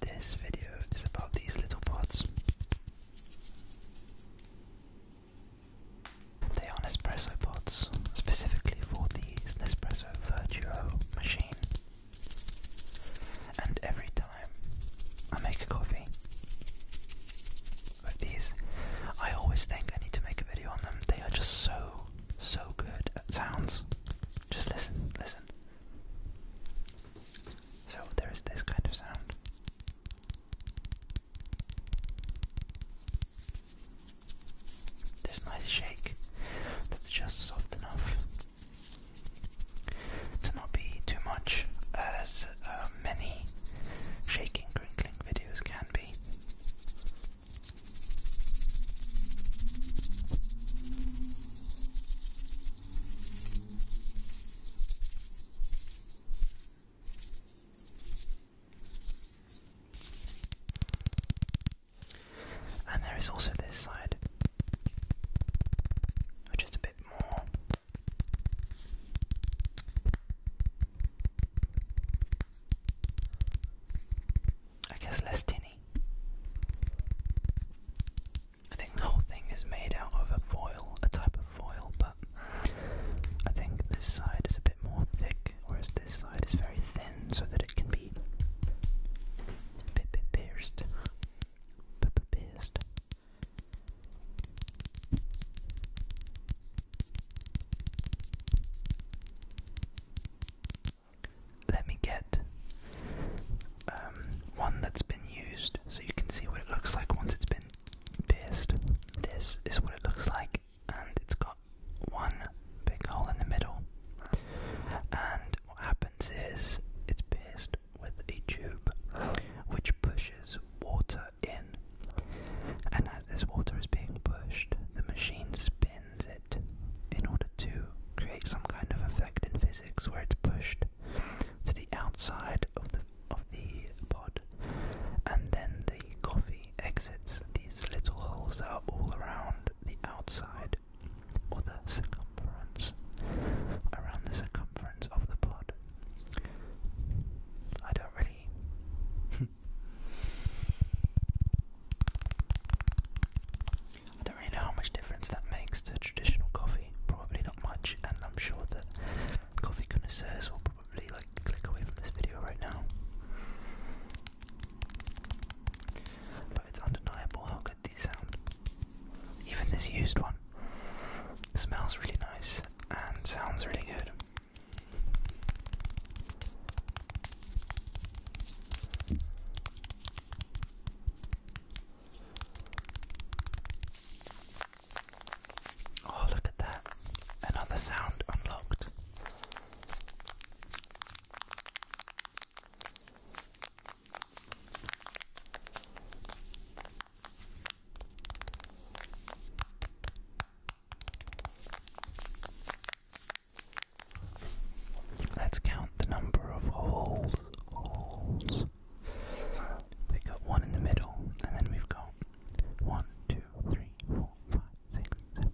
This video is about these little pots. They are Nespresso pots, specifically for the Nespresso Vertuo machine. And every time I make a coffee like these, I always think I need to make a video on them. They are just so, so good at sounds. Just listen, listen. So there is this kind of sound. This nice shake that's just soft enough to not be too much as uh, many shaking crinkling videos can be. And there is also this side, which a bit more. I guess less tinny. I think the whole thing is made out of foil, a type of foil, but I think this side is a bit more thick, whereas this side is very thin, so that it can be p -p pierced. P pierced let me get um, one that's been used so you can see what it looks like once it's been pierced. This is what it looks like, and it's got one big hole in the middle. And what happens is it's pierced with a tube which pushes water in, and as this water is being pushed, the machine spins it in order to create some kind of effect in physics where it's pushed to the outside of the of the pod and then the coffee exits these little holes that are all around the outside or the circumference around the circumference of the pod. I don't really I don't really know how much difference that makes to traditional coffee. Probably not much, and I'm sure that coffee connoisseurs will probably like click away from this video right now. But it's undeniable how good these sound. Even this used one smells really nice and sounds really good. Oh, look at that. Another sound unlocked. Let's count the number of holes. Holes. We've got one in the middle, and then we've got one, two, three, four, five, six, seven,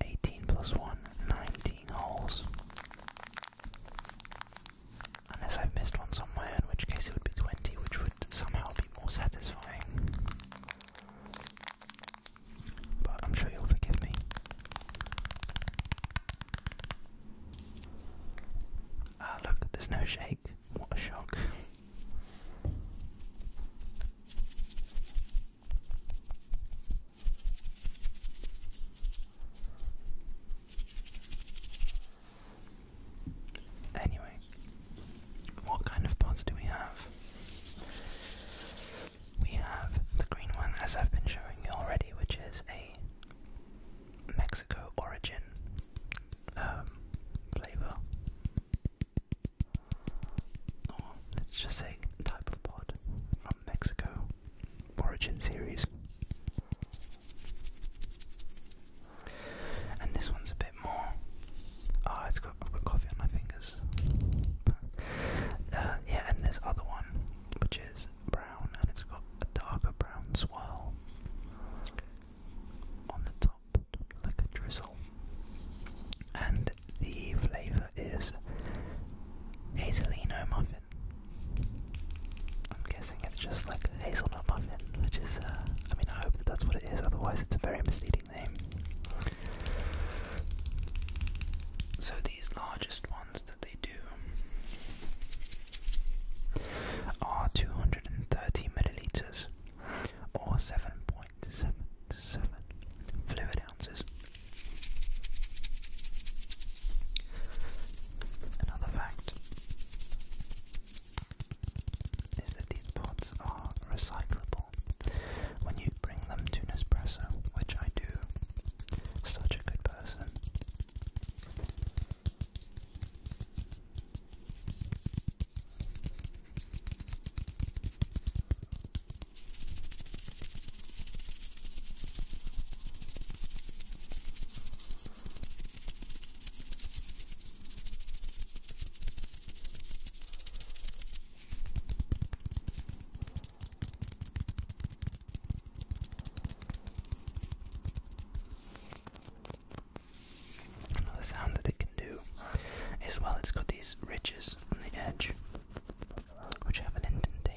eight, nine, 10, holes. Unless I've missed one somewhere, in which case it would be 20, which would somehow be more satisfying. But I'm sure you'll forgive me. Ah, look, there's no shake. What a shock. Anyway, what kind of pods do we have? We have the green one, as I've been showing you already, which is a Mexico origin um, flavor. let's just say type of pod from Mexico origin series. And this one's a bit more. Oh, it's got I've got coffee on my fingers. Uh, yeah, and this other one, which is brown, and it's got a darker brown swirl on the top, like a drizzle. And the flavour is hazelino I'm guessing it's just like hazelnut muffin, which is, uh, I mean, I hope that that's what it is, otherwise, it's a very misleading name. So, these largest ones that they do are 230 milliliters or 7.77 fluid Another fact is that these pods are recyclable. When you bring them to Nespresso, which I do, such a good person. Another sound that it can do is while it's got these ridges on the edge which have an indentation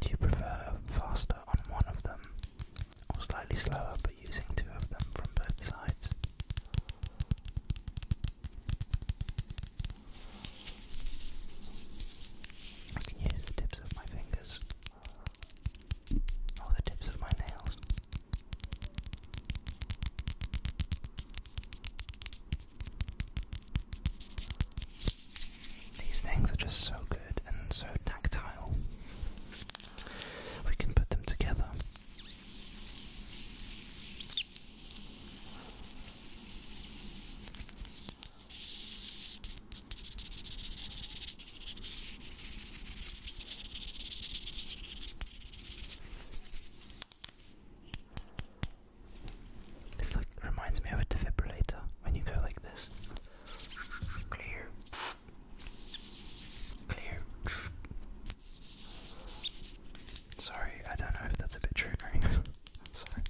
Do you prefer faster on one of them or slightly slower but using two of them from both sides? I can use the tips of my fingers. Oh, the tips of my nails. These things are just so good and so tactile. We can put them together. This like reminds me of a defibrillator when you go like this. Clear. Clear. Sorry, I don't know if that's a bit triggering. Sorry.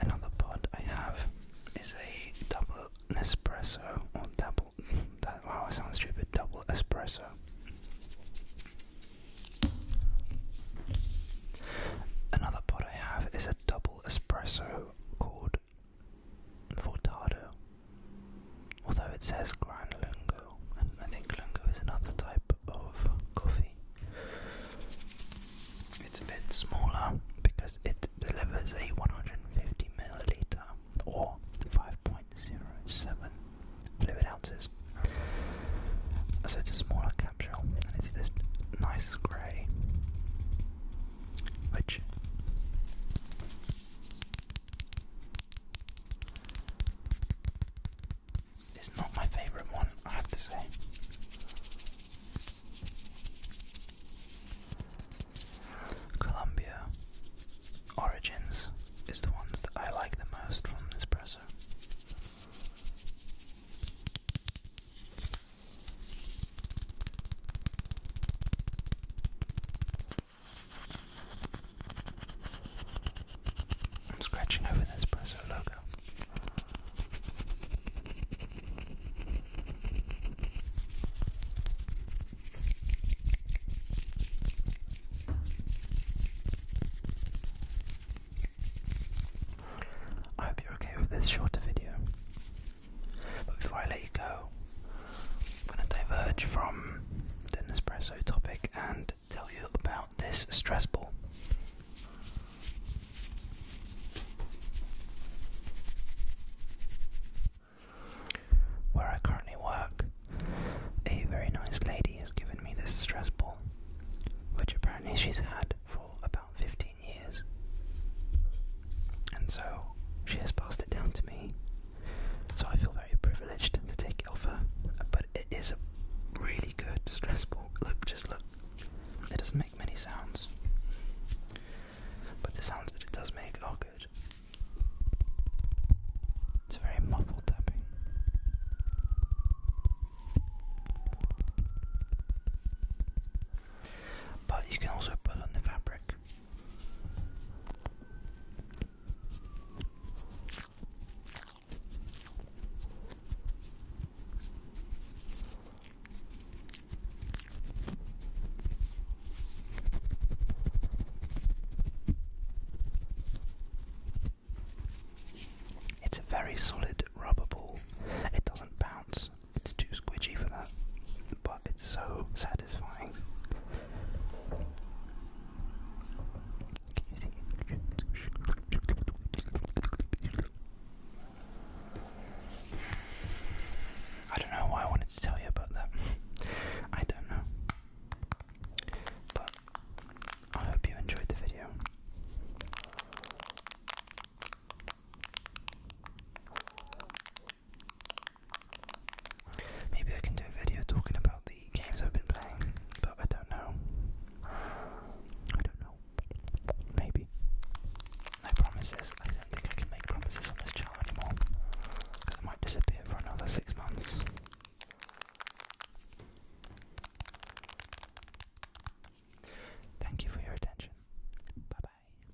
Another pod I have is a double Nespresso or double that wow I sound stupid double espresso. Another pod I have is a double espresso called Fortado. Although it says Gran Lungo, and I think Lungo is another type of coffee. It's a bit smaller because it delivers a 150 milliliter or 5.07 fluid ounces. So it's a smaller capsule and it's this nice grey, which it's not my favourite one, I have to say. Columbia Origins is the ones that I like the most from this I'm scratching over the espresso logo. I hope you're okay with this shorter video. But before I let you go, I'm going to diverge from the Nespresso topic and tell you about this stress ball. Where I currently work, a very nice lady has given me this stress ball, which apparently she's had for about 15 years. And so she has passed it down to me, so I feel very privileged to take it off her, but it is a really good stress ball. Look, just look. It doesn't make many sounds, but the sounds that it does make are good. It's a very muffled tapping. But you can also put on the fabric. It's a very solid rubber ball. It doesn't bounce. It's too squidgy for that, but it's so satisfying. I don't know why I wanted to tell you about that. I don't know. But I hope you enjoyed the video. Maybe I can do a video talking about the games I've been playing, but I don't know. I don't know. Maybe. No promises. I don't think I can make promises on this channel anymore. Because I might disappear for another six months. Thank you for your attention. Bye bye.